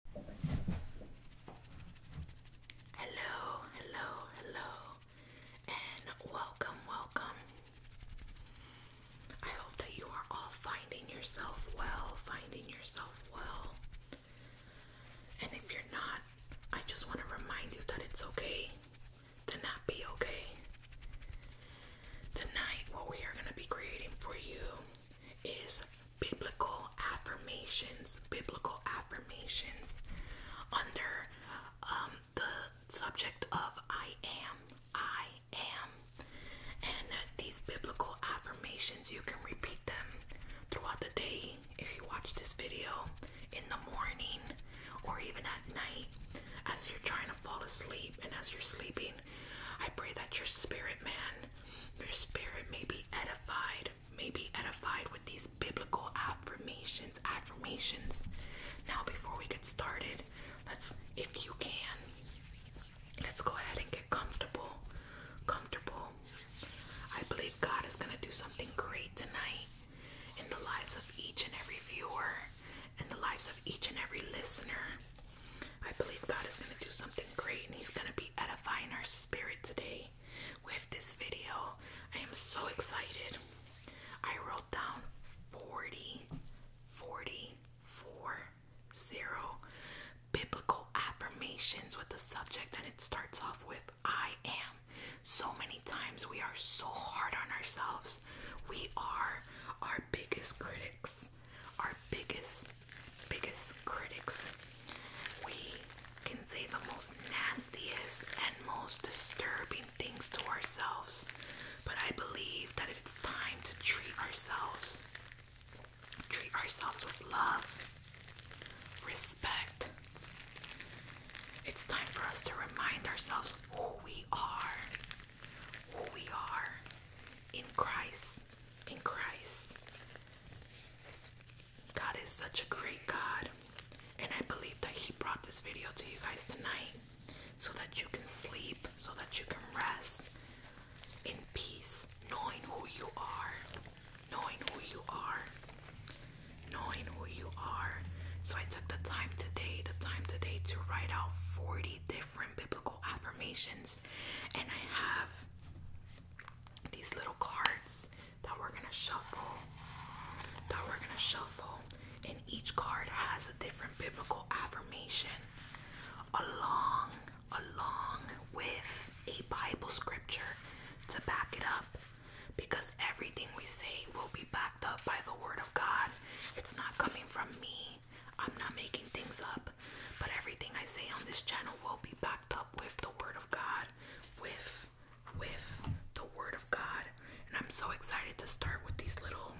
Hello, hello, hello, and welcome, welcome. I hope that you are all finding yourself well, finding yourself well. And if you're not, I just want to remind you that it's okay to not be okay. Tonight, what we are going to be creating for you is biblical affirmations. Biblical affirmations under um, the subject of I am. I am. And these biblical affirmations, you can repeat them throughout the day if you watch this video, in the morning, or even at night as you're trying to fall asleep and as you're sleeping. I pray that your spirit man your spirit may be edified, may be edified with these biblical affirmations. Affirmations. Now, before we get started, let's, if you can, let's go ahead and get comfortable. Comfortable. I believe God is going to do something great tonight in the lives of each and every viewer, in the lives of each and every listener. I believe God is going to do something great and He's going to be edified at a finer spirit today with this video. I am so excited. I wrote down 40, 40, 4, 0 biblical affirmations with the subject, and it starts off with I am. So many times we are so hard on ourselves, we are our biggest critics our biggest, biggest critics. We can say the most nastiest and most disturbing things to ourselves, but I believe that it's time to treat ourselves. Treat ourselves with love, respect. It's time for us to remind ourselves who we are, who we are in Christ, in Christ. God is such a great God, and I believe that He brought this video to you guys tonight so that you can sleep, so that you can rest in peace, knowing who you are, knowing who you are, knowing who you are. So I took the time today, the time today to write out 40 different biblical affirmations, and I have these little cards that we're gonna shuffle. That we're gonna shuffle, and each card has a different biblical affirmation along along with a Bible scripture to back it up because everything we say will be backed up by the word of God. It's not coming from me. I'm not making things up, but everything I say on this channel will be backed up with the Word of God, with, with the Word of God. And I'm so excited to start with these little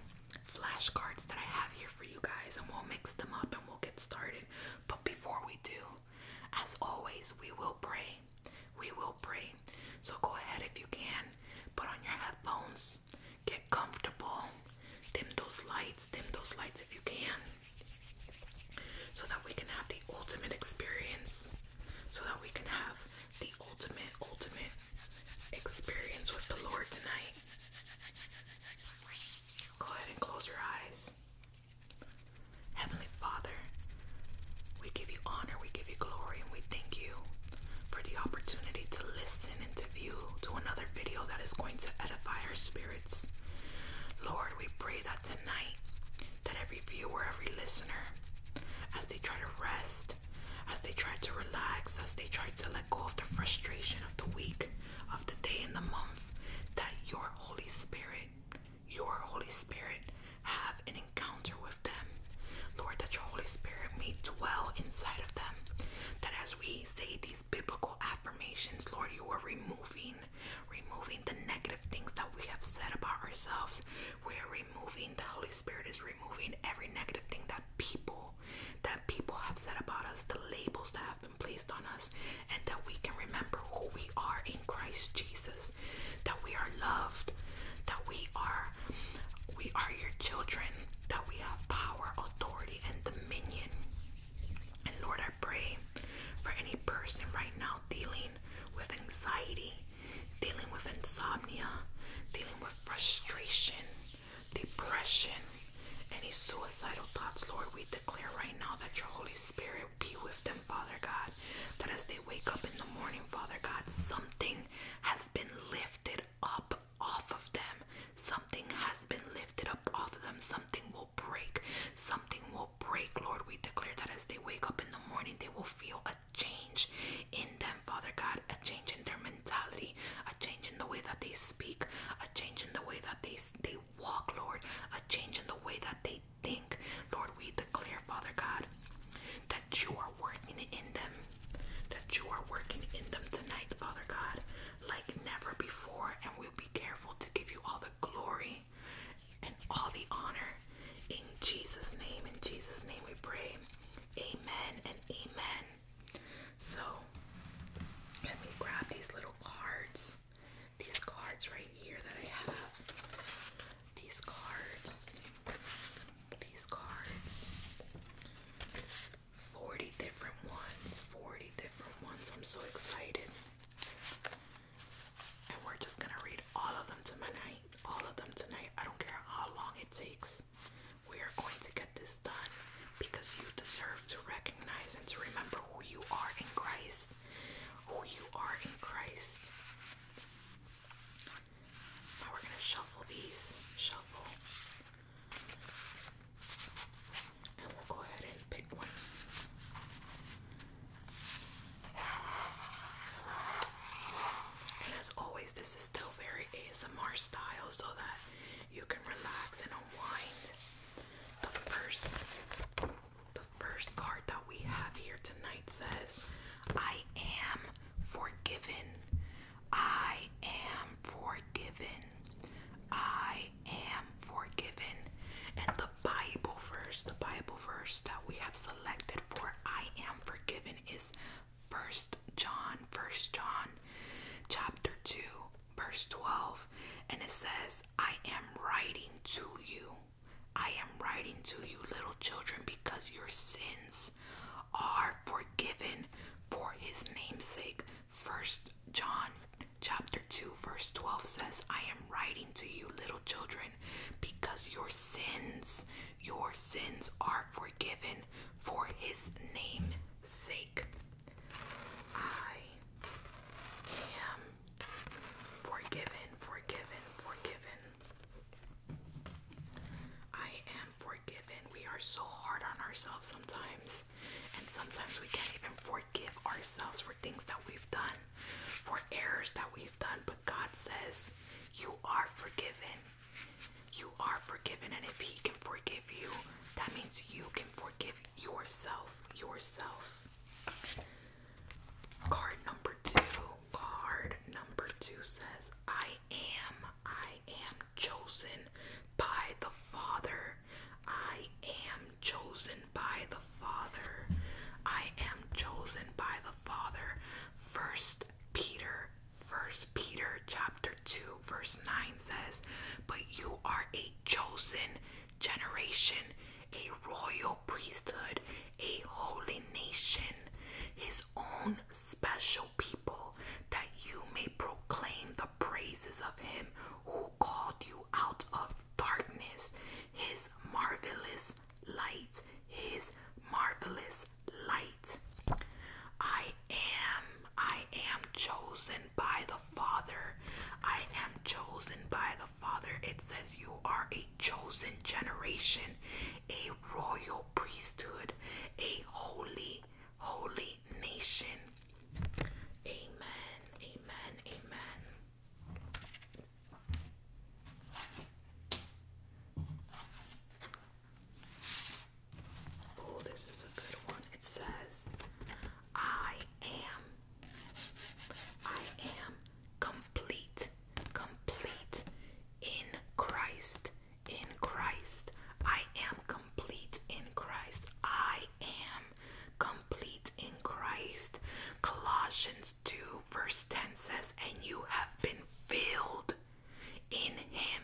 flashcards that I have here for you guys, and we'll mix them up and we'll get started. But before we do, as always, we will pray. We will pray. So go ahead if you can, put on your headphones, get comfortable, dim those lights, dim those lights if you can so that we can have the ultimate experience, so that we can have the ultimate, ultimate experience with the Lord tonight. Go ahead and close your eyes. Heavenly Father, we give you honor, we give you glory, and we thank you for the opportunity to listen and to view to another video that is going to edify our spirit. Lord, we pray that tonight, that every viewer, every listener, as they try to rest, as they try to relax, as they try to let go of the frustration of the week, of the day, and the month, that your Holy Spirit, your Holy Spirit, have an encounter with them. Lord, that your Holy Spirit may dwell inside of them. That as we say these biblical affirmations, Lord, you are removing removing the negative things that we have said about ourselves. We're removing, the Holy Spirit is removing every negative thing that people, that people have said about us, the labels that have been placed on us, and that we can remember who we are in Christ Jesus, that we are loved, that we are, we are your children, that we have power, authority, and dominion. And Lord, I pray for any person right now dealing with anxiety, dealing with insomnia, dealing with frustration, depression, any suicidal thoughts, Lord, we declare right now that your Holy Spirit be with them, Father God. That as they wake up in the morning, Father God, something has been lifted up off of them. Something has been lifted up off of them. Something will break. Something something will break, Lord. We declare that as they wake up in the morning, they will feel a change in them, Father God, a change in their mentality, a change in the way that they speak, a change in the way that they they walk, Lord, a change in the way that they think. Lord, we declare, Father God, that you are working in them, that you are working in them tonight, Father God, like never before. And we will be be careful to give you all the glory and all the honor. In Jesus' name, in Jesus' name we pray. Amen and amen. So, let me grab these little cards. These cards right here that I have. These cards. These cards. 40 different ones. 40 different ones. I'm so excited. And we're just gonna read all of them tonight. All of them tonight. I don't care how long it takes. We are going to get this done because you deserve to recognize and to remember who you are in Christ. Who you are in Christ. Now we're gonna shuffle these. Shuffle. And we'll go ahead and pick one. And as always, this is still very ASMR style so that you can relax and unwind. The first, the first card that we have here tonight says, I am forgiven. I am forgiven. I am forgiven. And the Bible verse, the Bible verse that we have selected for I am forgiven is First John, First John chapter 2, verse 12. And it says, I am writing to you. I am writing to you, little children, because your sins are forgiven for his name's sake. 1 John chapter 2 verse 12 says, I am writing to you little children because your sins, your sins are forgiven for his name's sake. I am forgiven, forgiven, forgiven. I am forgiven. We are so hard on ourselves sometimes. And sometimes we can't even forgive ourselves for things that we've done, for errors that we've done. But God says, You are forgiven. You are forgiven. And if He can forgive you, that means you can forgive yourself. Yourself. Card number two. Card number two says, I am, I am chosen by the Father I am chosen by the Father. I am chosen by the Father. First Peter, First Peter chapter 2, verse 9 says, But you are a chosen generation, a royal priesthood, a holy nation, his own special people, that you may proclaim the praises of him who called you out of darkness. His marvelous light, His marvelous light. I am, I am chosen by the Father. I am chosen by the Father. It says you are a chosen generation, a royal priesthood, a holy, holy nation. Amen, amen, amen. Oh, this is a good one. It says, I am, I am complete, complete in Christ, in Christ. I am complete in Christ. I am complete in Christ. Colossians 2, verse 10 says, And you have been filled in Him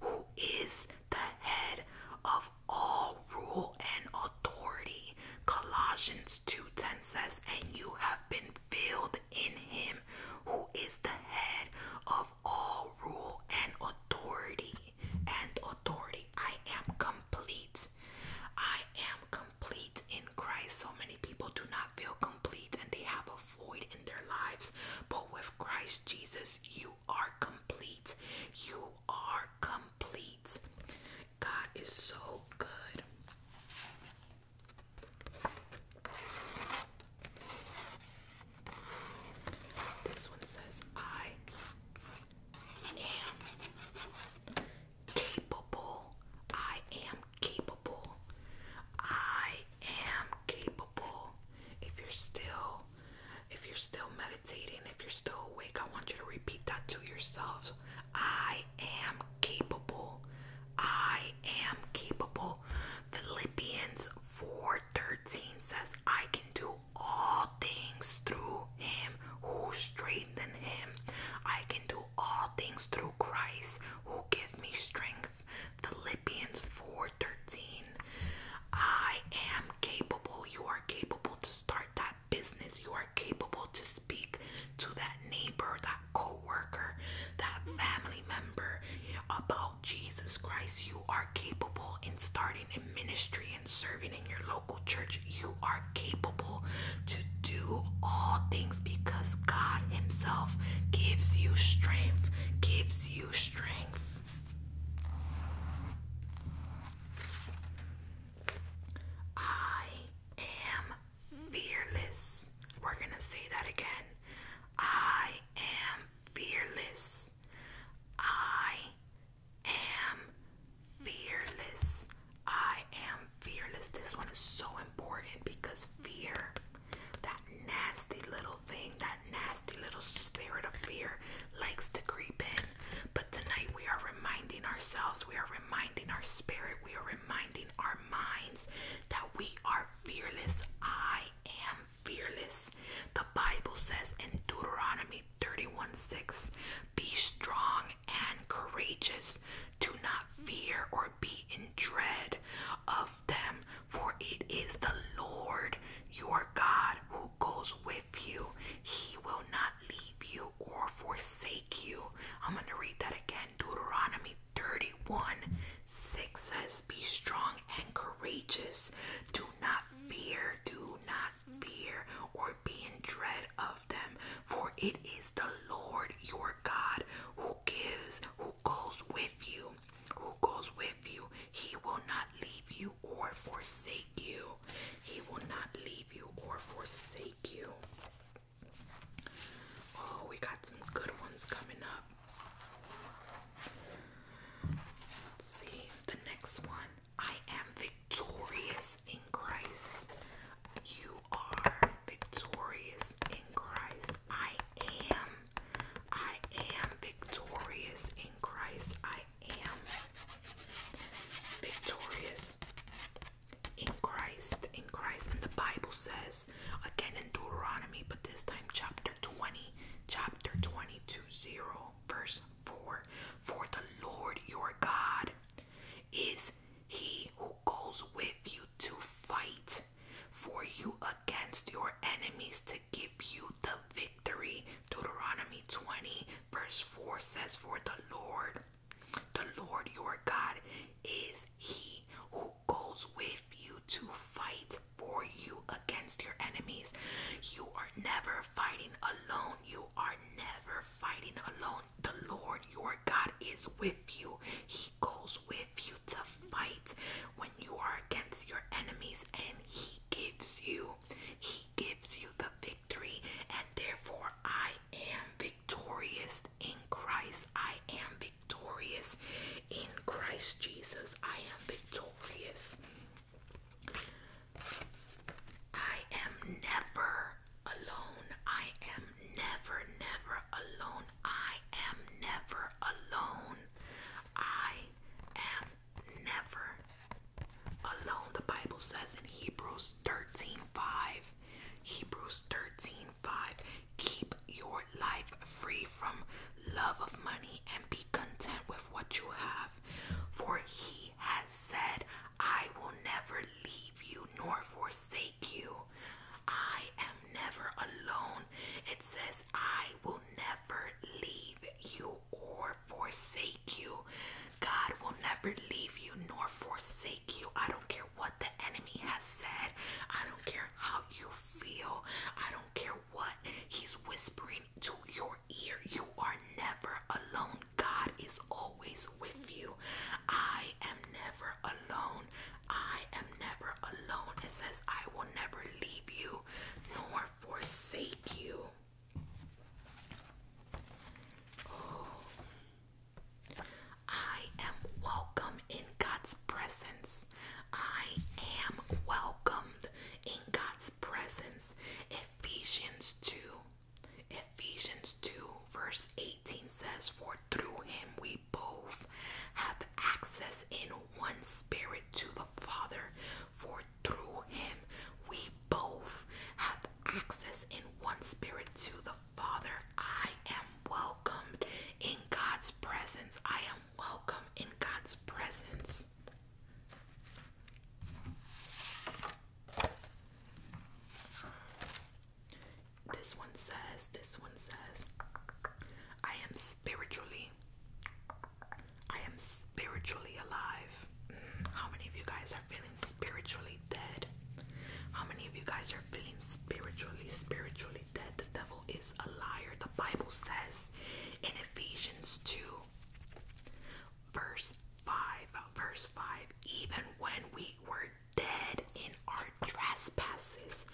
who is the head of all rule and authority. Colossians 2:10 says, And you have been filled in Him who is the head of all rule and authority and authority. I am complete. I am complete in Christ. So many people do not feel complete and they have a void in their lives. But with Christ Jesus, you are complete. You are complete. God is so good. This one says, I am capable. I am capable. I am capable. If you're still if you're still meditating, if you're still awake, I want you to repeat that to yourselves. I am capable. I am capable. Philippians 4:13 says I can do all things through him who strengthen him. I can do all things through Christ who give me strength. Philippians 4:13. I am capable. You are capable to start that business. You are capable to speak to that neighbor, that coworker, that family member about Jesus Christ. You are capable in starting a ministry and serving in your local church. You are capable to do all things because God Himself gives you strength, gives you strength. I am fearless. We're going to say that again. I am fearless. I am fearless. I am fearless. This one is so important because fear, that nasty little thing, that nasty little spirit of fear likes to creep in. But tonight we are reminding ourselves, we are reminding our spirit, we are reminding our minds that we are fearless. I am fearless. The Bible says in Deuteronomy 31 6, be strong and courageous. Do not fear or be in dread of them, for it is the Lord your God who goes with you. He will not leave you or forsake you. I'm going to read that again. Deuteronomy 31 6 says, Be strong and courageous. Do not fear. Do not fear or be in dread of them, for it is the Lord your God who gives, who goes with you, who goes with you. He will not leave you or forsake you. He will not leave you or forsake you. Oh, we got some good ones coming up. Let's see the next one. I am victorious in Christ. You are victorious in Christ. I am. I am victorious in Christ. I am victorious in Christ. In Christ. And the Bible says, again in Deuteronomy, but this time chapter 20, chapter 20 to 0, verse 4 For the Lord your God is he who goes with you to fight for you against your enemies to give you the victory. Deuteronomy 20, verse 4 says, For the Lord, the Lord your God is he who goes with you to fight for you against your enemies. You are never fighting alone. You are never fighting alone. The Lord your God is with you. He goes with you to fight when you are against your enemies, and He gives you, He gives you the victory. And therefore, I am victorious in Christ. I am victorious in Christ Jesus. I am victorious. I am never alone. I am never, never alone. I am never alone. I am never alone. The Bible says in Hebrews thirteen five. Hebrews 13 Keep your life free from love of money and be content with what you have. For he has said, I will never leave you nor forsake you. I am never alone. It says, I will never leave you or forsake you. God will never leave you nor forsake you. I don't care what the enemy has said. I don't care how you feel. I don't care what he's whispering to your ear. You are never alone. God is always with you. I am never alone. I am never alone. It says, I will never leave you nor forsake you. Oh. I am welcome in God's presence. I am welcomed in God's presence. Ephesians 2. Ephesians 2, verse 18 says, For through him we both have access in one spirit to the Father. For through him we both have access in one spirit to the Father. I am welcomed in God's presence. I am welcomed in God's presence. This one says, this one says, I am spiritually, I am spiritually alive. Mm, how many of you guys are feeling spiritually dead? How many of you guys are feeling spiritually, spiritually dead? The devil is a liar. The Bible says in Ephesians 2 verse 5. Verse 5 Even when we were dead in our trespasses,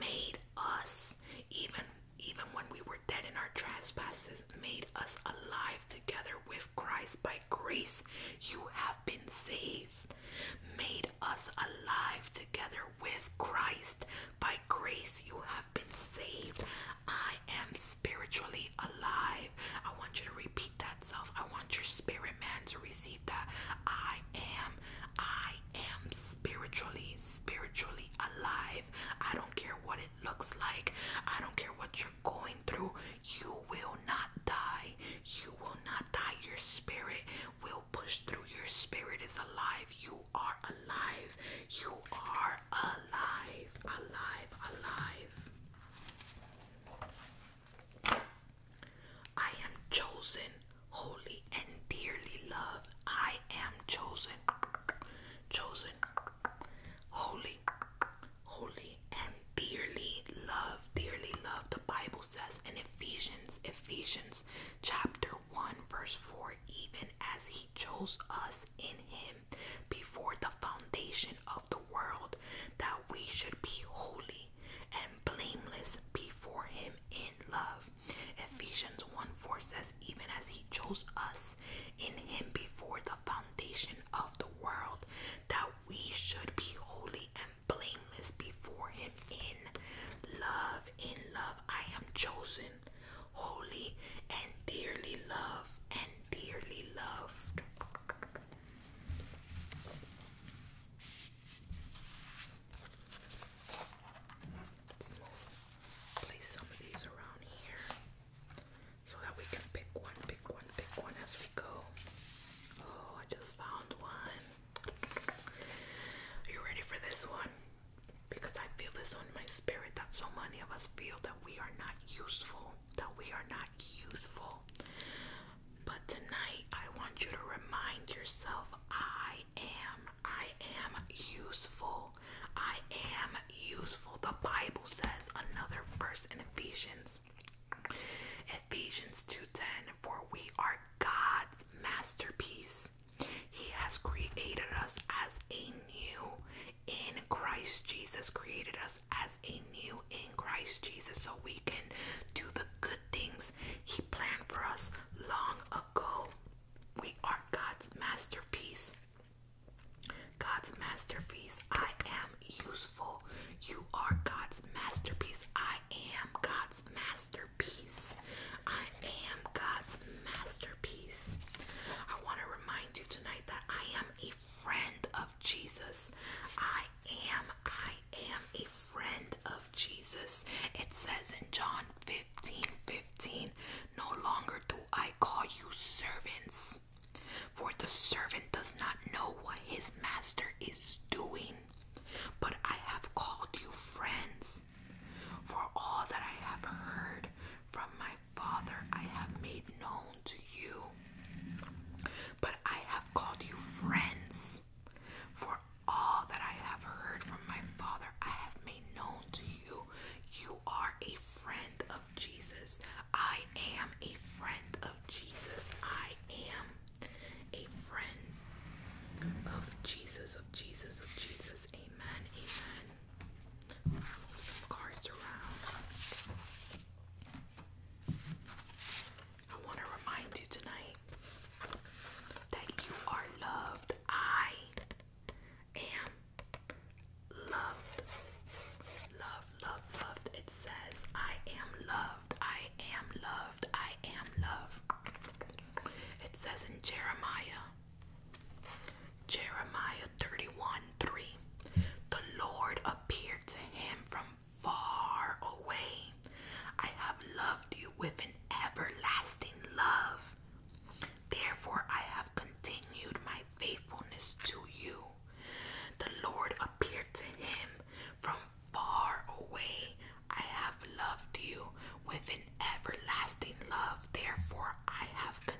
made us, even, even when we were dead in our trespasses, made us alive together with Christ. By grace, you have been saved. Made us alive together with Christ. By grace, you have. I've been saved. I am spiritually alive. I want you to repeat that self. I want your spirit man to receive that. I am, I am spiritually, spiritually alive. I don't care what it looks like. I don't care what you're going through. You will not die. You will not die. Your spirit will push through. Your spirit is alive. You are alive. You are alive alive, alive, I am chosen, holy, and dearly loved. I am chosen, chosen, holy, holy, and dearly loved. Dearly loved, the Bible says in Ephesians, Ephesians chapter 1, verse 4 even as He chose us in Him before the foundation of the world that we should be holy and blameless before him in love. Ephesians 1 4 says, Even as he chose us in him before the foundation of the world, that we should be holy and blameless before him in love. In love, I am chosen holy, and dearly loved, and dearly loved. Let's move, place some of these around here so that we can pick one, pick one, pick one as we go. Oh, I just found one. you ready for this one? Because I feel this on my spirit that so many of us feel we are not useful, that we are not useful. But tonight, I want you to remind yourself I am, I am useful. I am useful. The Bible says another verse in Ephesians. Ephesians 2:10 For we are God's masterpiece. He has created us as a new in Christ Jesus created us as a new in Christ Jesus so we can do the good things He planned for us long ago. We are God's masterpiece. God's masterpiece. I am useful. You are God's masterpiece. I am God's masterpiece. I am God's masterpiece. I want to remind you tonight that I am a friend of Jesus. I am, I am a friend of Jesus. It says in John 15 15, no longer do I call you servants, for the servant does not know what his master is doing, but I have called you friends. For all that I have heard from my Father I have made known to you, but I have called you friends. For all that I have heard from my Father, I have made known to you. You are a friend of Jesus. I am a friend of Jesus. I am a friend of Jesus, of Jesus, of Jesus. Amen. Amen. Let's move some cards around. I want to remind you tonight that you are loved. I am loved. Loved, loved, loved. It says, I am loved. I am loved. I am loved. It says in Jeremiah Jeremiah 31 3. The Lord appeared to him from far away. I have loved you with an everlasting love. Therefore, I have continued my faithfulness to you. The Lord appeared to him from far away. I have loved you with an everlasting love. Therefore, I have continued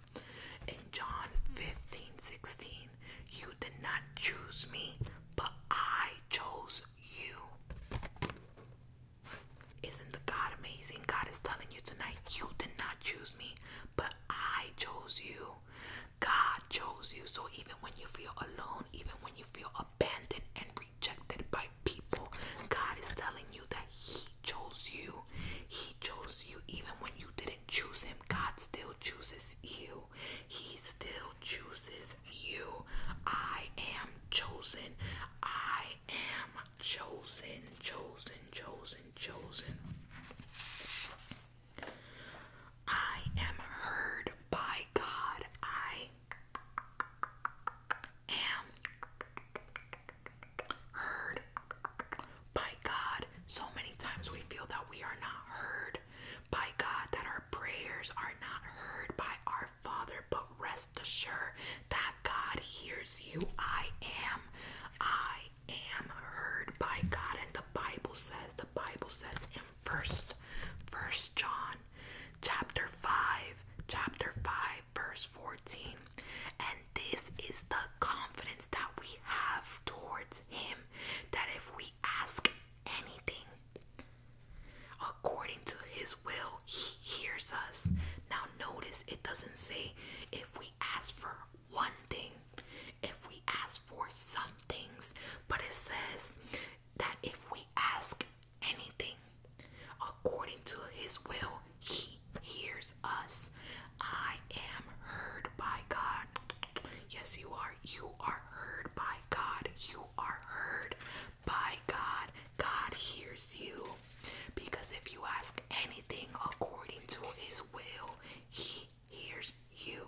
In John 15 16, you did not choose me, but I chose you. Isn't God amazing? God is telling you tonight, you did not choose me, but I chose you. God chose you. So even when you feel alone, even when you feel abandoned and rejected by people, God is telling you that He chose you. He chose you even when you didn't choose him. God still chooses you. He still chooses you. I am chosen. I am chosen, chosen, chosen, chosen. I am heard by God. I am heard. By God, so many times we feel that we are not heard. By God, that our prayers are not heard by our Father, but rest assured that God hears you. I am. I am heard by God. And the Bible says, the Bible says in first, first John chapter 5, chapter 5, verse 14. And this is the confidence that we have towards Him that if we ask anything according to His will, He hears us. Now, notice it doesn't say if we ask for one thing, if we ask for some things, but it says that if we ask anything according to His will, he hears us. I am heard by God. Yes, you are. You are heard by God. You are heard by God. God hears you. Because if you ask anything according to His will, He hears you.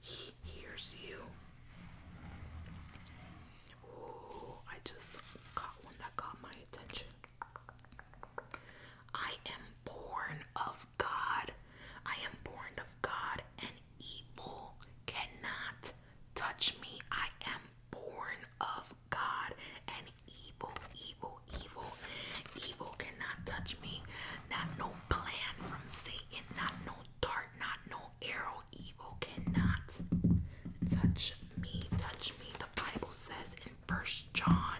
He hears you. Ooh, I just caught one that caught my attention. I am born of God. I am born of God, and evil cannot touch me. I am born of God, and evil, evil, evil, evil cannot touch me. Not no plan from Satan, not no dart, not no arrow. Evil cannot touch me. Touch me. The Bible says in First John.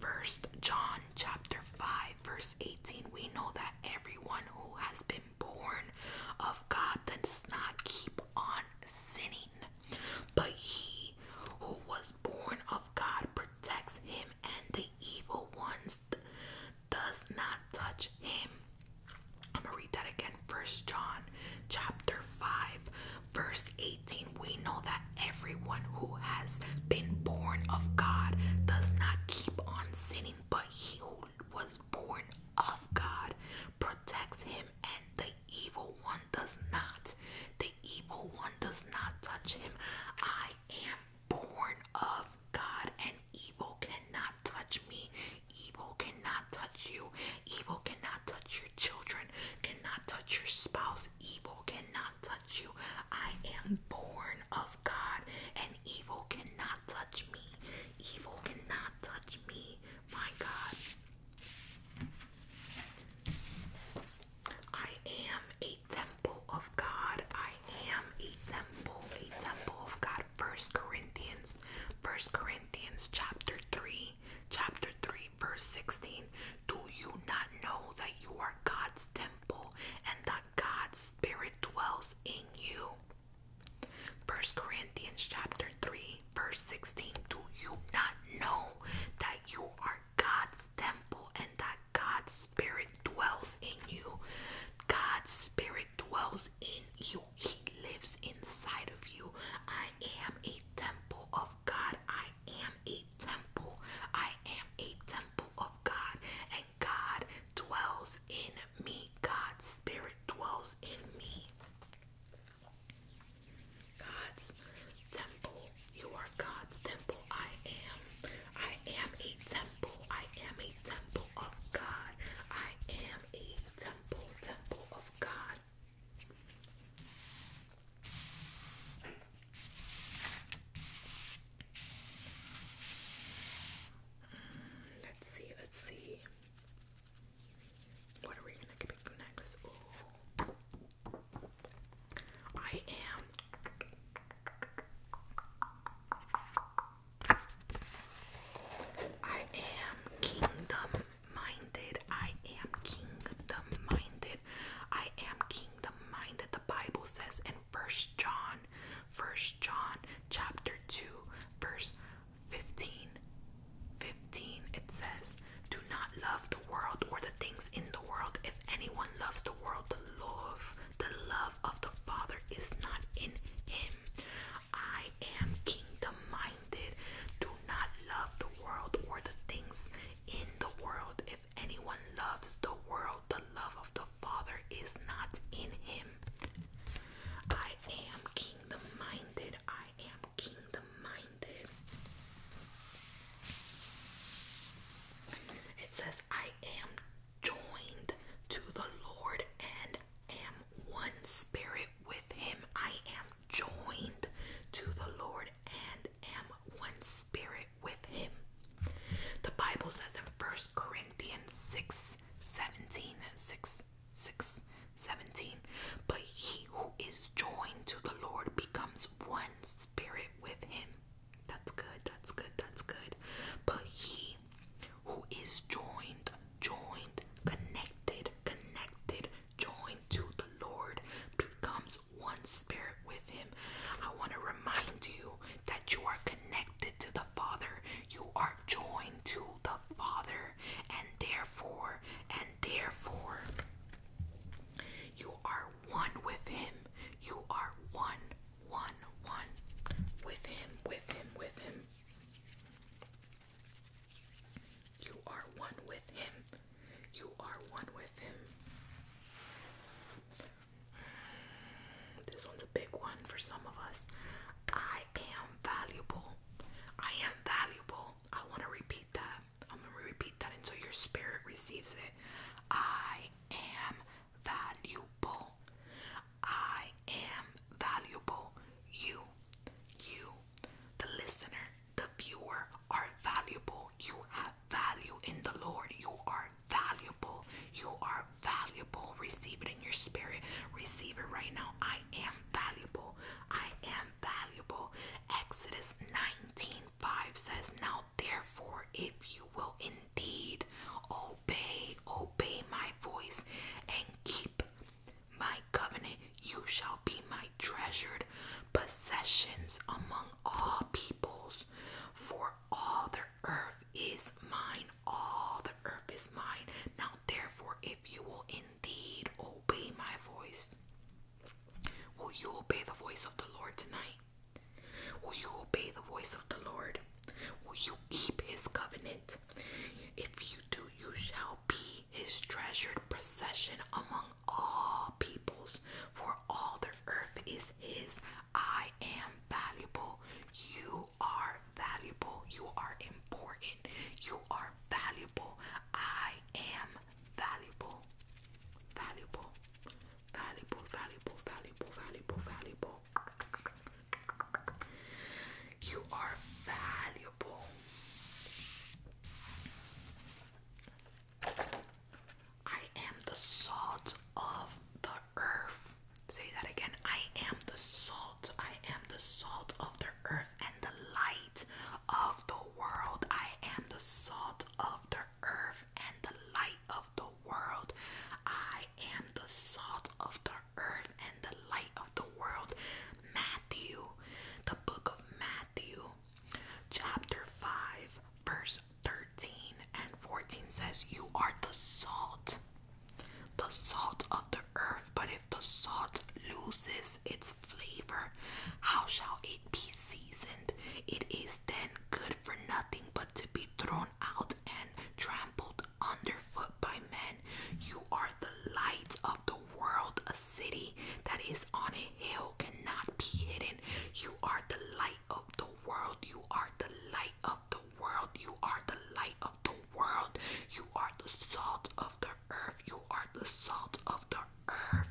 First John chapter 5 verse 18. We know that everyone who has been born of God does not keep on sinning. But he who was born of God protects him and the evil ones does not touch him. I'm gonna read that again. First John chapter 5 Verse 18 We know that everyone who has been born of God does not keep on sinning, but he who was born of God protects him, and the evil one does not. The evil one does not touch him. I am born of God, and evil cannot touch me. Evil cannot touch you. Evil cannot touch your children, cannot touch your spouse. Evil cannot touch you. I am born of God, and evil cannot touch me. Evil cannot touch me, my God. I am a temple of God. I am a temple, a temple of God. First Corinthians, First Corinthians chapter 3, chapter 3, verse 16 Do you not know that you are God's temple and that God's Spirit dwells in you? 1 Corinthians chapter 3 verse 16 Do you not know that you are God's temple and that God's Spirit dwells in you? God's Spirit dwells in you. He lives inside of you. I am a temple of God. I am a temple. I am a temple of God, and God dwells in me. God's spirit dwells in me. God's temple. You are God's temple. I am. I am a temple. I am a temple of God. I am a temple, temple of God let's see, let's see. What are we gonna pick next? I am I am Kingdom minded. I am kingdom minded. I am kingdom minded. The Bible says in First John, First John chapter 2, verse 15. 15 it says, Do not love the world or the things in the world. If anyone loves the world, the love, the love of the Father is not in him. I am kingdom minded. Do not love the world or the things in the world. If anyone loves the world, the love of the Father is not in him. I am kingdom minded. I am kingdom minded. It says, I am joined to the Lord and am one spirit with him. I am joined to the Lord and am one spirit with him. The Bible says in 1 Corinthians 6 17, 6, 17, but he who is joined to the Lord becomes one spirit with him. That's good, that's good, that's good. But he who is joined, joined, connected, connected joined to the Lord, becomes one spirit with Him. I want to remind you that you are connected to the Father, you are joined to the Father, and therefore, and therefore, you are one with Him. You are one, one, one with Him, with Him, with Him. You are one with him. You are one with him. This one's a big one for some of us. I am valuable. I am valuable. I want to repeat that. I'm going to repeat that until your spirit receives it. I am valuable. I am valuable. You, you, the listener, the viewer are valuable. You have value in the Lord. You are valuable. You are valuable. Receive it in your spirit. Receive it right now. I am valuable. I am valuable. Exodus 19 5 says, Now therefore, if you will indeed obey, obey my voice and keep my covenant, you shall be my treasured possessions among all peoples, for all the earth is mine. All the earth is mine. Now, therefore, if you will indeed obey my voice, will you obey the voice of the Lord tonight? Will you obey the voice of the Lord? Will you keep his covenant? If you do, you shall be his treasured possession among all peoples, for all the earth is his. I am valuable. You are valuable. You are important. You are valuable. I am valuable. Valuable. Valuable, valuable, valuable, valuable, valuable. You are valuable. I am the salt of the earth. Say that again. I am the salt. I am the salt of the earth and the light of the world. I am the salt of the earth and the light of the world. I am the salt of the earth and the light of the world. Matthew, the book of Matthew, Chapter 5, verse 13 and 14 says, You are the salt, the salt of the earth. But if the salt loses its flavor, how shall it be seasoned? It is then good for nothing but to be thrown out and trampled underfoot by men. You are the light of the world. A city that is on a hill cannot be hidden. You are the light of the world. You are the light of the world. You are the light of the world. You are the salt of the earth. You are the salt of the earth.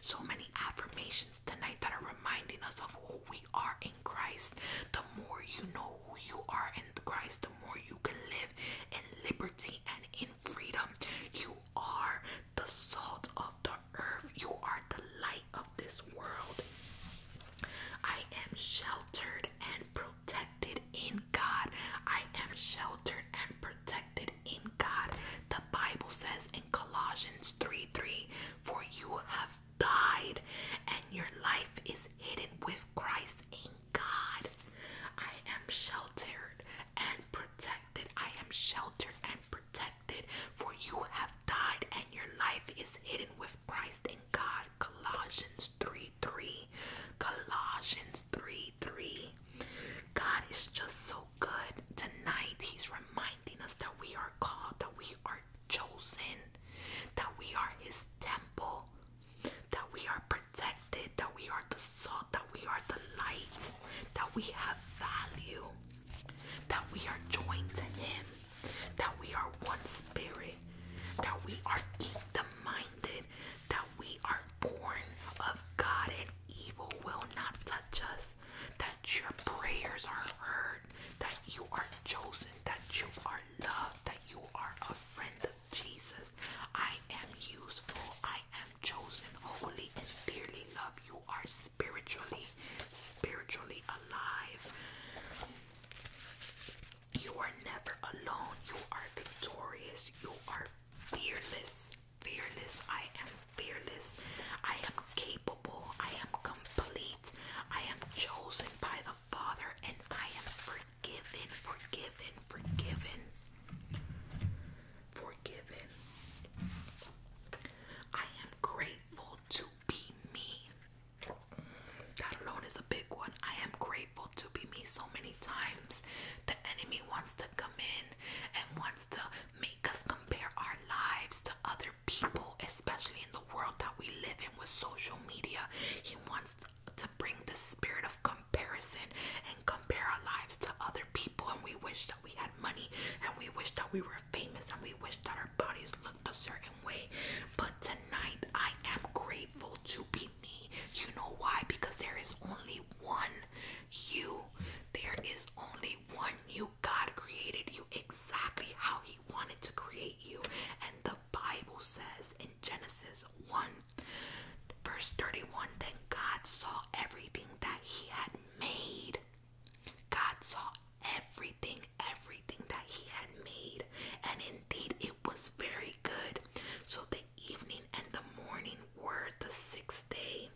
So many affirmations tonight that are reminding us of who we are in Christ. The more you know who you are in Christ, the more you can live in liberty and in freedom. You are the salt of the earth. You are the light of this world. I am sheltered and protected in God. I am sheltered and protected in God. The Bible says in Colossians 3 3 For you have died, and your life is hidden with Christ in God. I am sheltered and protected. I am sheltered and protected, for you have died, and your life is hidden with Christ in God. Colossians 3 3. Colossians 3 3. God is just so good. Tonight, He's reminding us that we are called, that we are chosen, that we are His temple, that we are protected protected, that we are the salt, that we are the light, that we have value, that we are joined to Him, that we are one spirit, that we are kingdom minded, that we are born of God and evil will not touch us, that your prayers are heard, that you are chosen, that you are loved, that you are a friend of Jesus. I am useful, I am chosen holy, and dearly loved. You are spiritually, spiritually alive. You are never alone. You are victorious. You are fearless. Fearless. I am fearless. I am capable. I am complete. I am chosen by the Father and I am forgiven, forgiven, forgiven forgiven. I am grateful to be me. That alone is a big one. I am grateful to be me. So many times the enemy wants to come in and wants to make us compare our lives to other people, especially in the world that we live in with social media. He wants to bring the spirit of comparison comparison and compare our lives to other people. And we wish that we had money and we wish that we were famous and we wish that our bodies looked a certain way. But tonight, I am grateful to be me. You know why? Because there is only one you. There is only one you. God created you exactly how He wanted to create you. And the Bible says in Genesis 1 Verse 31 Then God saw everything that He had made. God saw everything, everything that He had made, and indeed it was very good. So the evening and the morning were the sixth day.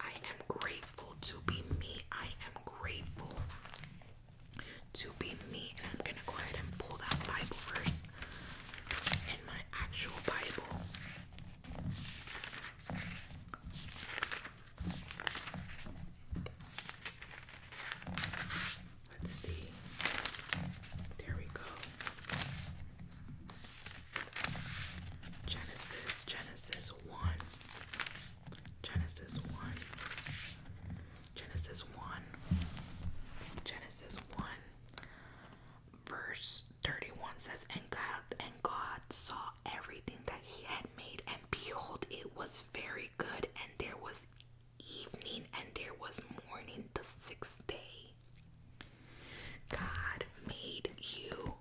I am grateful to be me. I am grateful to be me. And I'm going to go ahead and pull that Bible verse in my actual Bible. Let's see. There we go. Genesis, Genesis 1. Genesis 1. Genesis 1. Genesis 1. Verse 31 says, And God and God saw everything that he had made, and behold, it was very good, and there was evening and there was morning the sixth day. God made you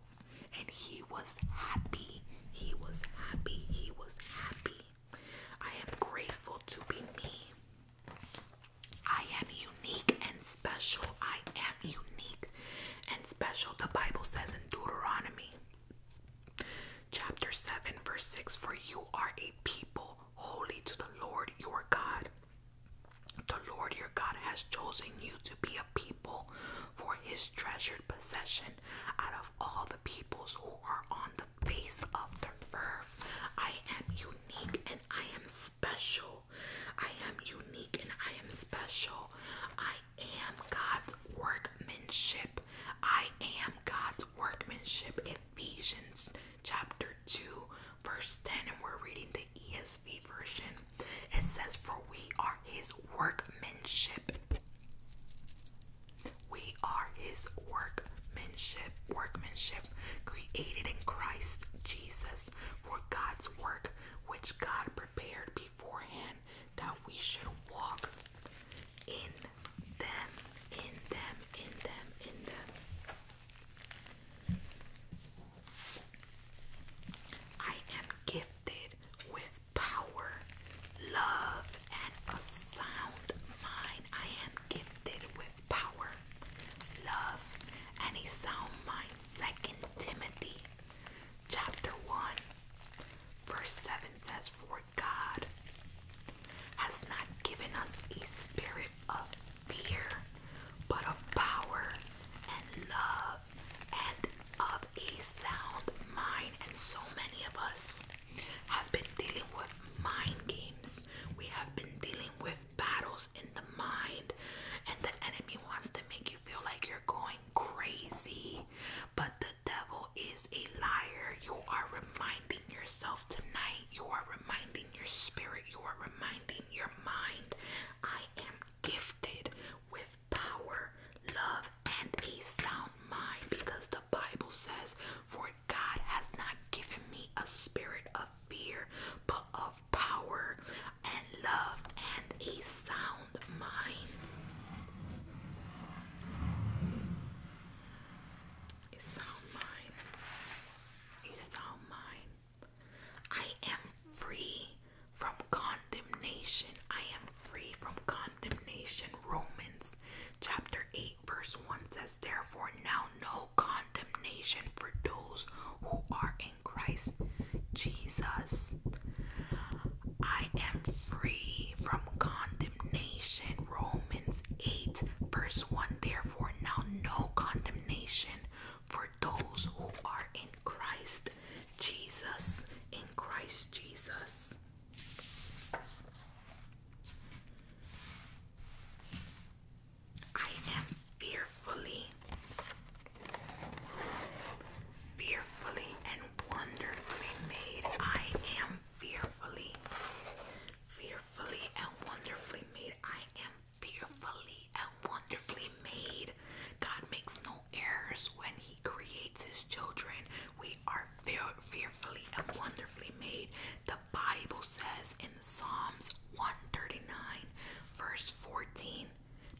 and he was happy. He was happy. He was happy. I am grateful to be me. I am unique and special. I am unique and special. The Bible says in Deuteronomy chapter 7, verse 6 For you are a people holy to the Lord your God. The Lord your God has chosen you to be a people for his treasured possession out of all the peoples who are on the face of the earth. I am unique and I am special. I am unique and I am special. I am God's workmanship. I am God's workmanship. Ephesians chapter 2, verse 10, and we're reading the ESV version. It says, For we are his workmanship. We are his work workmanship, created in Christ Jesus for God's work, which God prepared beforehand that we should walk in them, in them, in them, in them. I am gifted with power, love, and a sound mind. I am gifted with has power, love, and a sound mind. Second Timothy chapter 1 verse 7 says, For God has not given us a spirit of fear, but of power and love and of a sound mind. And so many of us have been dealing with mind games. We have been dealing with battles in the mind, and the enemy wants to make you feel like you're going crazy. But the devil is a liar. You are reminding yourself tonight, you are reminding your spirit, you are reminding your mind. I am gifted with power, love, and a sound mind because the Bible says, For God has not given me a spirit of fear, but of power and love and a sound mind. sound mind. sound mind. I am free from condemnation. I am free from condemnation. Romans chapter 8 verse 1 says, Therefore, now no condemnation for those who are in Christ Jesus. I am free from condemnation. Romans 8 verse 1. Therefore, now no condemnation for those who are in Christ Jesus. In Christ Jesus. I am fearfully, fearfully and wonderfully made. I am fearfully, fearfully and wonderfully made. I am fearfully and wonderfully made. God makes no errors when He creates His children. We are fearfully and wonderfully made. The Bible says in Psalms 139, verse 14.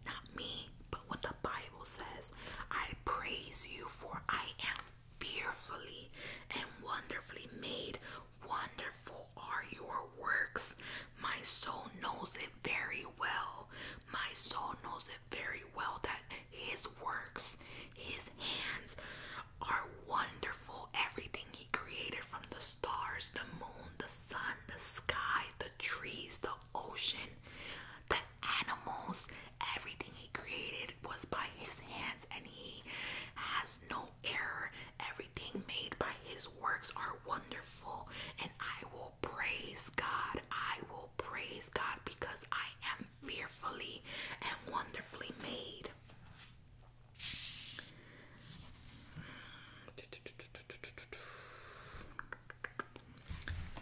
Not me, but what the Bible says. I praise you, for I am fearfully and wonderfully made. Wonderful are your works. My soul knows it very well. My soul knows it very well that his works, his hands are wonderful. Everything He created from the stars, the moon, the sun, the sky, the trees, the ocean, the animals, everything He created was by His hands, and He has no error. Everything made by His works are wonderful, and I will praise God. I will praise God because I am fearfully and wonderfully made.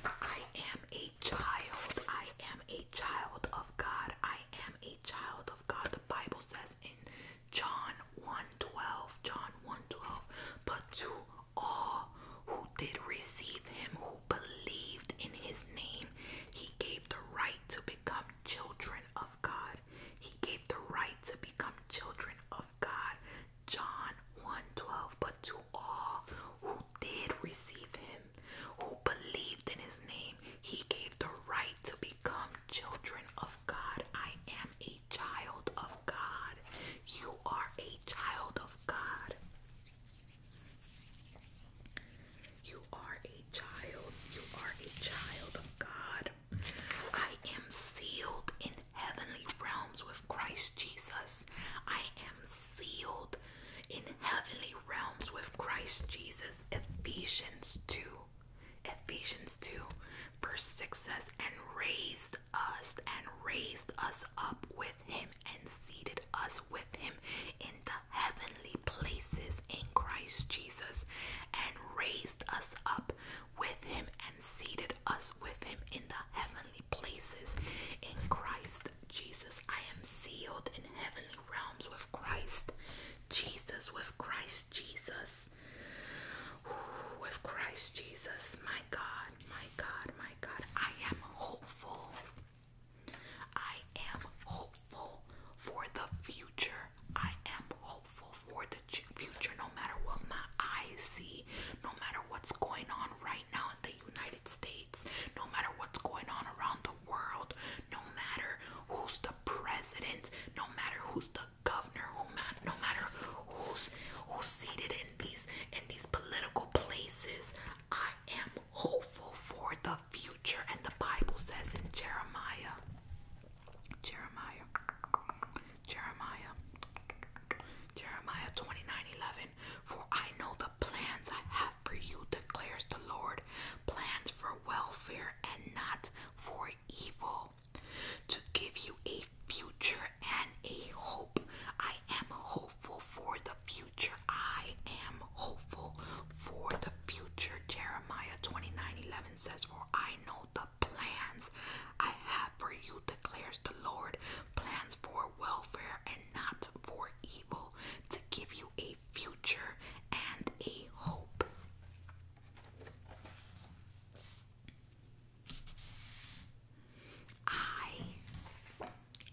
I am a child. I am a child of God. I am a child of God. The Bible says in John 1:12, John 1:12, but to all who did receive him who believed in his name, he gave the right to become children of God. He gave the right to become children of God. John 1 12. But to all who did receive him, who believed in his name, he gave the right to become children of God. I am a child of God. You are a child of God. You are a child. You are a child of God. I am sealed in heavenly realms with Christ Jesus. I am sealed in heavenly realms with Christ Jesus. Ephesians 2. Ephesians 2, verse 6 says, And raised us, and raised us up with him, and seated us with him in the heavenly places in Christ Jesus and raised us up with him and seated us with him in the heavenly places in Christ Jesus. I am sealed in heavenly realms with Christ Jesus, with Christ Jesus. with Christ Jesus, my God, my God, my God, I am hopeful. I I am hopeful for the future. I am hopeful for the future no matter what my eyes see, no matter what's going on right now in the United States, no matter what's going on around the world, no matter who's the president, no matter who's the governor, who no matter who's who's seated in these in these political places, I am hopeful for the future and the Bible says in Jeremiah Jeremiah, Jeremiah, Jeremiah 29 11. For I know the plans I have for you, declares the Lord, plans for welfare and not for evil, to give you a future and a hope. I am hopeful for the future. I am hopeful for the future. Jeremiah 29 11 says, For I know the plans I have for you, declares the Lord, plans for welfare and not for evil, to give you a future and a hope. I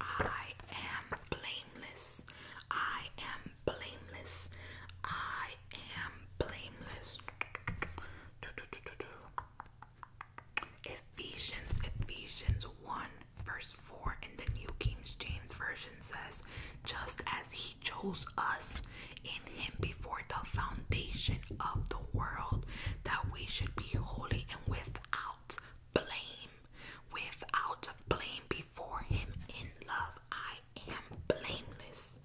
I am blameless. I am blameless. I am blameless. Ephesians, Ephesians 1, verse 4 in the New King James Version says, Just as He chose us in Him before the foundation of the world, that we should be holy and without blame, without blame before Him in love. I I am blameless,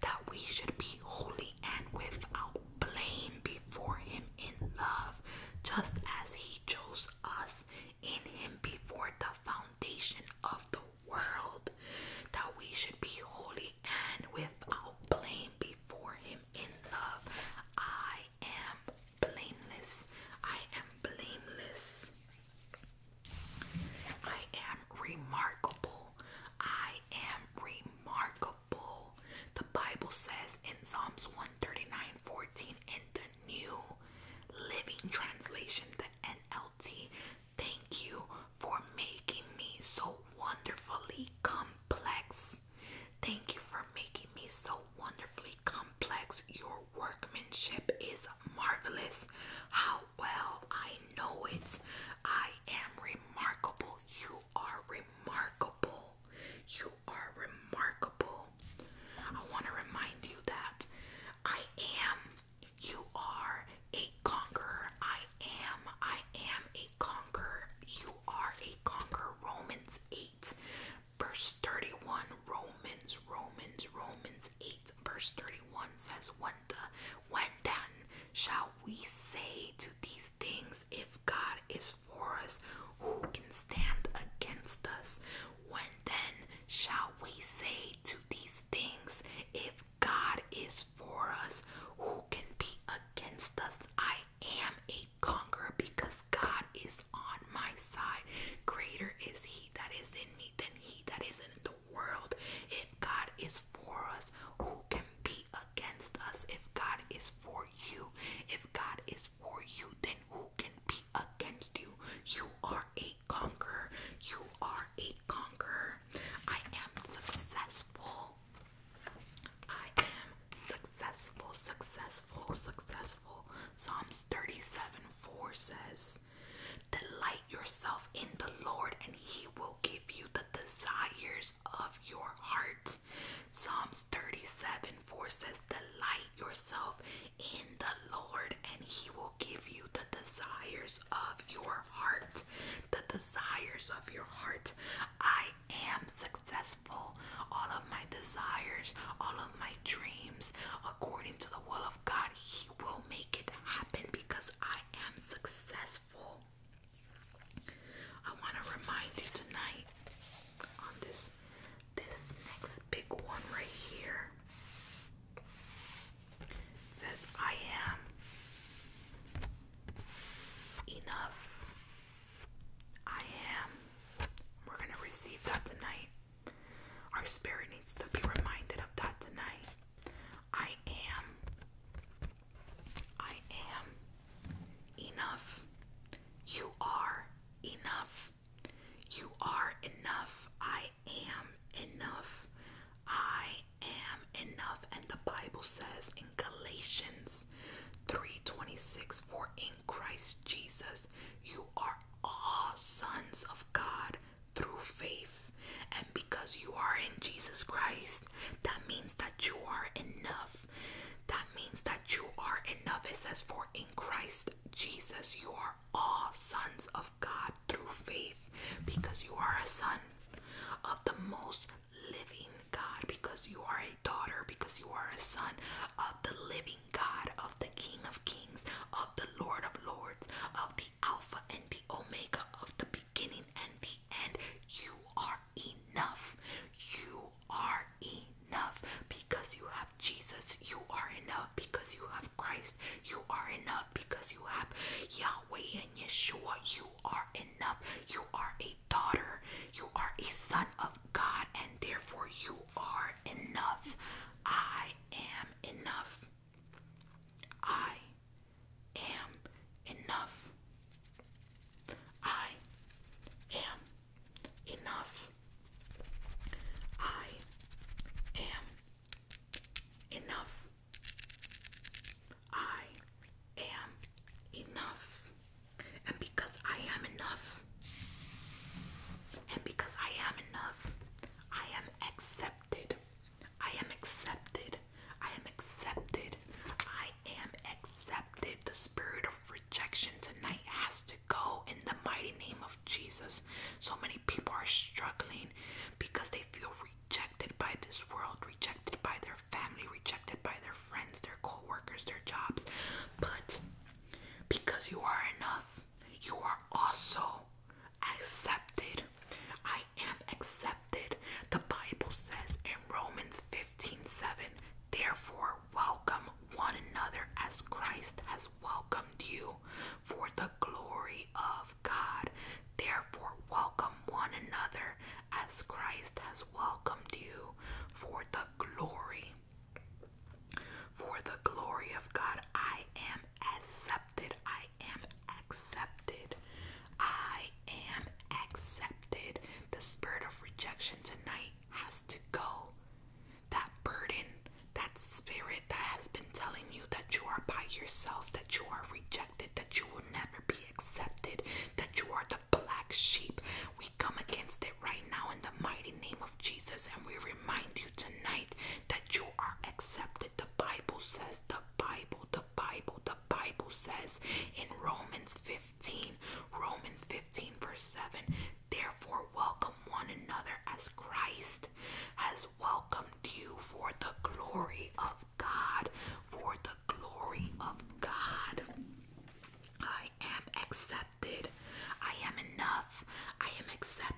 that we should be holy and without blame before Him in love, just as He chose us in Him before the foundation of the world, that we should be holy and without blame before Him in love. I am blameless. I am blameless. I am remarkable. I am remarkable. The Bible says in Psalms 139 in the New Living Translation, the NLT, thank you for making me so wonderfully complex. Thank you for making me so wonderfully complex. Your workmanship is marvelous. How well I know it. I am remarkable. You are remarkable. You are remarkable. I want to remind you that I am. You are a conqueror. I am. I am a conqueror. You are a conqueror. Romans 8, verse 31. Romans, Romans, Romans 8, verse 31 says, When, the, when then shall we say to these things, if God is for us, who can stand against us? When then shall we say to these things, if God is for us, who can be against us? I am a conqueror because God is on my side. Greater is He that is in me than He that is in the world." world. If God is for us, who can be against us? If God is for you, if God is for you, then who can be against you? You are a conqueror. You are a conqueror. I am successful. I am successful, successful, successful. Psalms 37 4 says, Delight yourself in the Lord, and He will give you the desires of your heart. Psalms 37 4 says, Delight yourself in the Lord, and He will give you the desires of your heart. The desires of your heart. I am successful. All of my desires, all of my dreams, according to the will of God, he will make it happen because I am successful. I want to remind you tonight on this this next big one right here. says I am enough. I am. We're going to receive that tonight. Our spirit needs to be reminded of that tonight. I am. I am enough. You are enough. You are enough. I am enough. I am enough. And the Bible says in Galatians 3:26 for in Christ Jesus you are all sons of God through faith. And because you are in Jesus Christ, that means that you are enough. That means that you are enough. It says, For in Christ Jesus, you are all sons of God through faith, because you are a son of the most living God, because you are a daughter, because you are a son of the living God, of the King of Kings, of the Lord of Lords, of the Alpha and the Omega of the beginning and the end. You are enough. You are enough because you have Jesus. You are enough because you have Christ. You are enough because you have Yahweh and Yeshua. You are enough. You are a daughter. You are a son of God, and therefore you are enough. I am enough. I am enough. I am enough. I am enough. I am enough. And because I am enough, and because I am enough, I am accepted accepted. I am accepted. I am accepted. I am accepted. The spirit of rejection tonight has to go in the mighty name of Jesus. So many people are struggling because they feel rejected by this world, rejected by their family, rejected by their friends, their coworkers, their jobs. But because you are enough, you are also accepted. I am accepted. The Bible says in Romans 15 7, therefore welcome one another as Christ has welcomed you for the glory of God. Therefore welcome one another as Christ has welcomed you for the glory. For the glory of God, I am accepted. I am accepted. I am accepted. The spirit of rejection tonight has to go. That burden, that spirit that has been telling you that you are by yourself, that you are rejected, that you will never be accepted, that you are the black sheep. We come against it right now in the mighty name of Jesus and we remind you tonight that you are accepted. The Bible says, the Bible, the Bible, the Bible says in Romans 15, Romans 15, verse 7, therefore welcome one another as Christ has welcomed you for the glory of God, for the glory of God. I am accepted. I am enough. I am accepted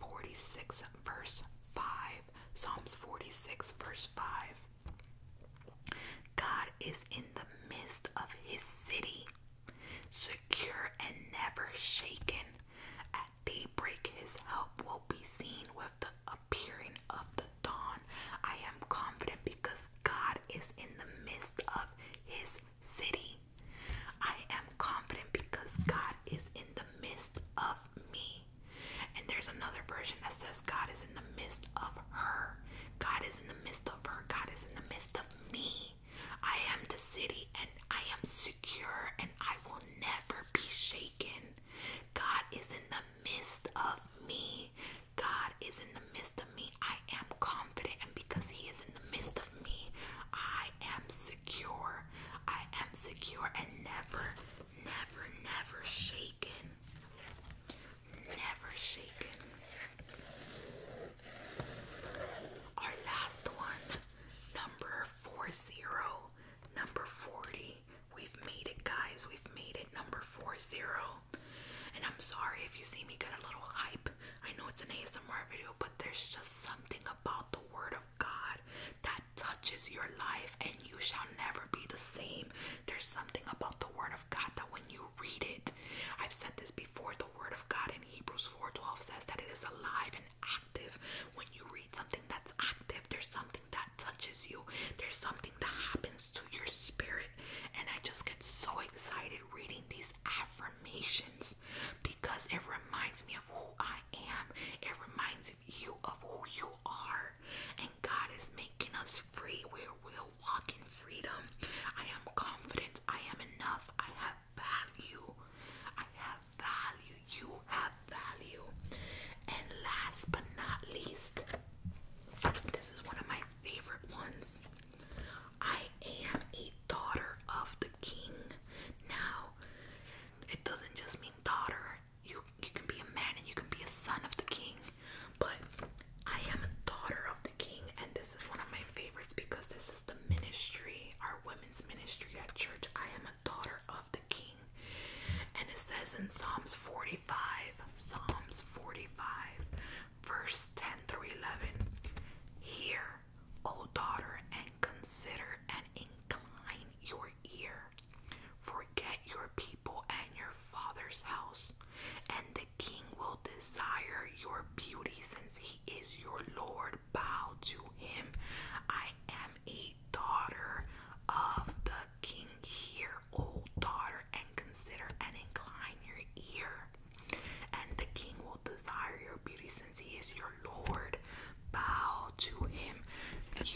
46, verse 5. Psalms 46, verse 5. God is in the midst of his city, secure and never shaken. At daybreak, his help will be seen with the appearing of the dawn. I am confident because God is in the midst of his city. I am confident because God is in the of me. And there's another version that says, God is in the midst of her. God is in the midst of her. God is in the midst of me. I am the city and I am secure and I will never be shaken. God is in the midst of me. God is in the midst of me. I am confident, and because He is in the midst of me, I am secure secure. I am secure and never, never, never shaken. Never shaken. Our last one, number 40, number 40. We've made it, guys. We've made it, number 40. And I'm sorry if you see me get a little hype. I know it's an ASMR video, but there's just something about the word of God that touches your life and you shall never be the same. There's something about the Word of God that when you read it, I've said this before, the Word of God in Hebrews 4:12 says that it is alive and active. When you read something that's active, there's something that touches you, there's something that happens to your spirit. And I just get so excited reading these affirmations because it reminds me of who I I It reminds you of who you are. And God is making us free. we will walk in freedom. I am confident. I am enough. I have value. I have value. You have value. And last but not least, this is one of my favorite ones. I am a daughter of the king. Now, it doesn't just mean daughter. You you can be a man and you can be a son of the king. But I am a daughter of the king, and this is one of my favorites because this is the ministry, our women's ministry at church. I am a daughter of the king. And it says in Psalms 45, Psalms 45, verse 10 through 11 Hear, O daughter, and consider and incline your ear. Forget your people and your father's house, and the king will desire your beauty since he is your Lord. Bow to him. I am a daughter of the king. Hear, O daughter, and consider and incline your ear, and the king will desire your beauty since he is your Lord. Bow to him.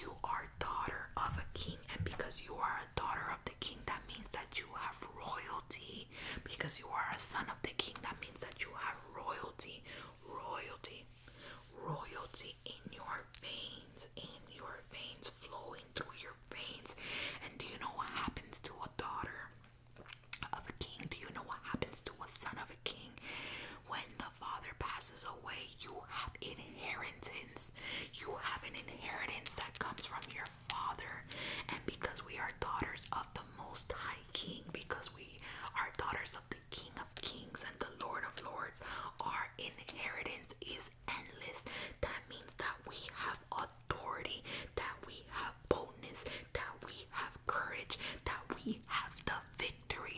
You are daughter of a king, and because you are a daughter of the king, that means that you have royalty. Because you are a son of the king, that means that you have royalty, royalty, royalty in your veins, in your veins, flowing through your veins. And do you know what happens to a daughter? of a king do you know what happens to a son of king. When the father passes away, you have inheritance. You have an inheritance that comes from your father. And because we are daughters of the Most High King, because we are daughters of the King of Kings and the Lord of Lords, our inheritance is endless. That means that we have authority, that we have boldness, that we have courage, that we have the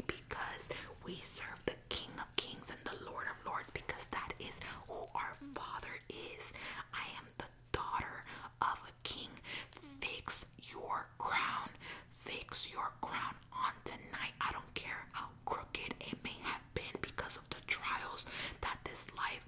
because we serve the King of Kings and the Lord of Lords because that is who our Father is. I am the daughter of a king. Fix your crown. Fix your crown on tonight. I don't care how crooked it may have been because of the trials that this life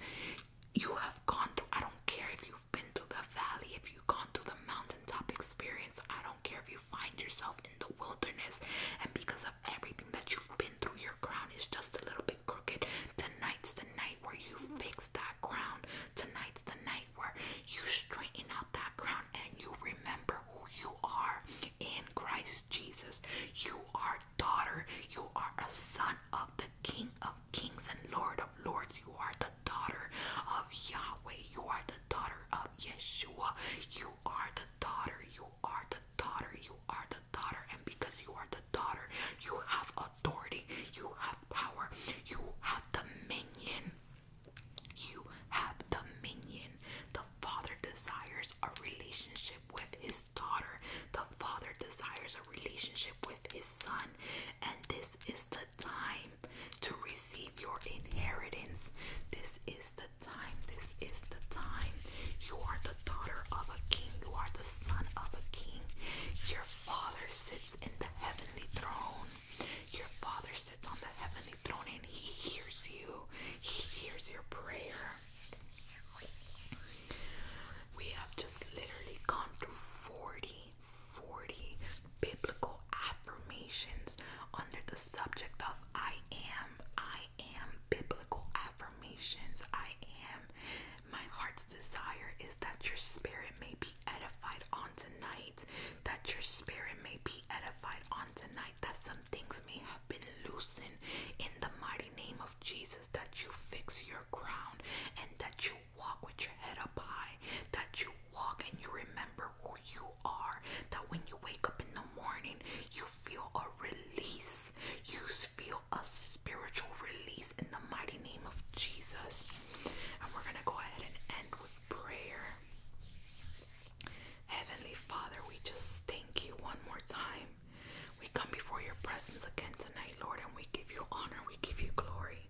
you have gone through. I don't care if you've been to the valley, if you've gone to the mountaintop experience, I don't care if you find yourself in the wilderness and because of everything that you've been through, your crown is just a little bit crooked. Tonight's the night where you fix that crown. Tonight's the night where you straighten out that crown and you remember who you are in Christ Jesus. You are daughter, you are a son of the King of Kings and Lord of lords. You are the daughter of Yahweh. You are the daughter of Yeshua. You are the daughter. You are the daughter. You are the daughter. And because you are the daughter, you have authority. You have power. You have dominion. You have dominion. The Father desires a relationship with his daughter. The Father desires a relationship with his son and this is the time to receive your inheritance. This is the time, this is the time. You are the daughter of a king, you are the son of a king. Your father sits in the heavenly throne. Your father sits on the heavenly throne and he hears you, he hears your prayer. We have just literally gone through 40 40 biblical affirmations under the subject of I am. I am biblical affirmations. I am. My heart's desire is that your spirit may be edified on tonight. That your spirit may be edified on tonight. That some things may have been loosened in the mighty name of Jesus. That you fix your crown and that you walk with your head up high. That you walk and you remember you are. That when you wake up in the morning, you feel a release. You feel a spiritual release in the mighty name of Jesus. And we're going to go ahead and end with prayer. Heavenly Father, we just thank you one more time. We come before your presence again tonight, Lord, and we give you honor, we give you glory.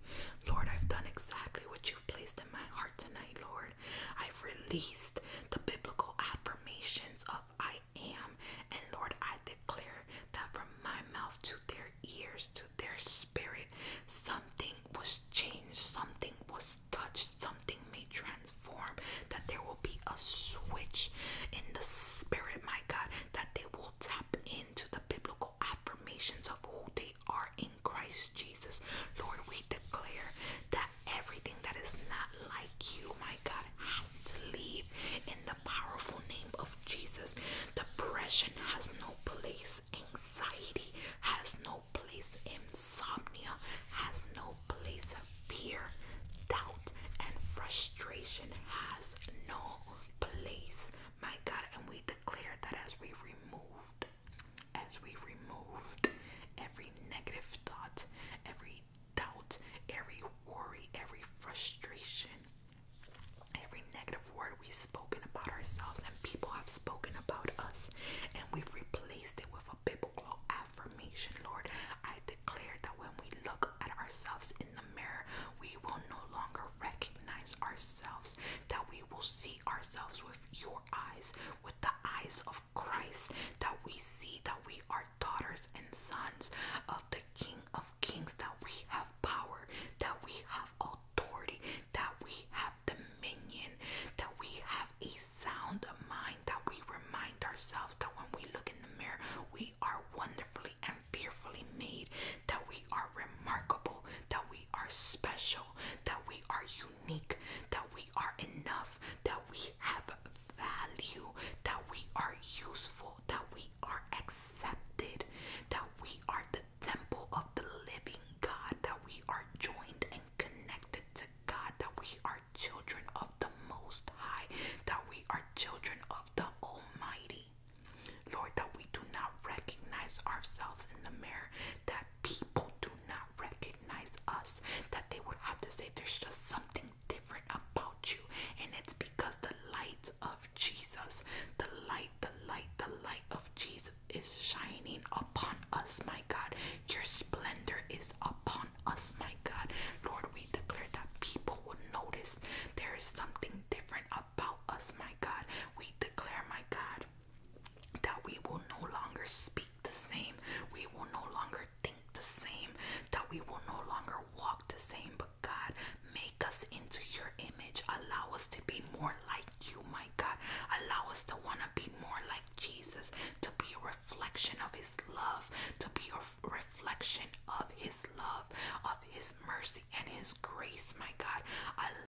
Lord, I've done exactly what you've placed my heart tonight, Lord. I've released the biblical affirmations of I am, and Lord, I declare that from my mouth to their ears, to their spirit, something was changed, something was touched, something may transform, that there will be a switch in the spirit, my God, that they will tap into the biblical affirmations of who they are in in Christ Jesus. Lord, we declare that everything that is not like you, my God, has to leave in the powerful name of Jesus. Depression has no place, anxiety has no place, insomnia has no place, of fear, doubt, and frustration has no place, my God. And we declare that as we removed as we removed every negative thought, every doubt, every worry, every frustration, every negative word we've spoken about ourselves and people have spoken about us, and we've replaced it with a biblical affirmation. Lord, I declare that when we look at ourselves in the mirror, we will no longer recognize ourselves, that we will see ourselves with your eyes with the eyes of Christ, that we see that we are daughters and sons of the King of Kings, that we have power, that we have authority, that we have dominion, that we have a sound mind, that we remind ourselves that when we look in the mirror, we are wonderfully and fearfully made, that we are remarkable, that we we are special, that we are unique, that we are enough, that we have value, that we are useful, that we are accepted, that we are the temple of the living God, that we are joined and connected to God, that we are children of the Most High, that we are children of the Almighty. Lord, that we do not recognize ourselves in the mirror, that people do not recognize us, that they would have to say there's just something different about you, and it's because the light of Jesus, the light, the light, the light of Jesus is shining upon us, my God. Your splendor is upon us, my God. Lord, we declare that people will notice there is something different about us, my God. We declare, my God, that we will no longer speak the same, we will no longer think the same, that we will no longer walk the same. But God, make us into your image, allow us to be more like you, my God, allow us to want to be more like Jesus, to be a reflection of His love, to be a reflection of His love, of His mercy and His grace, my God.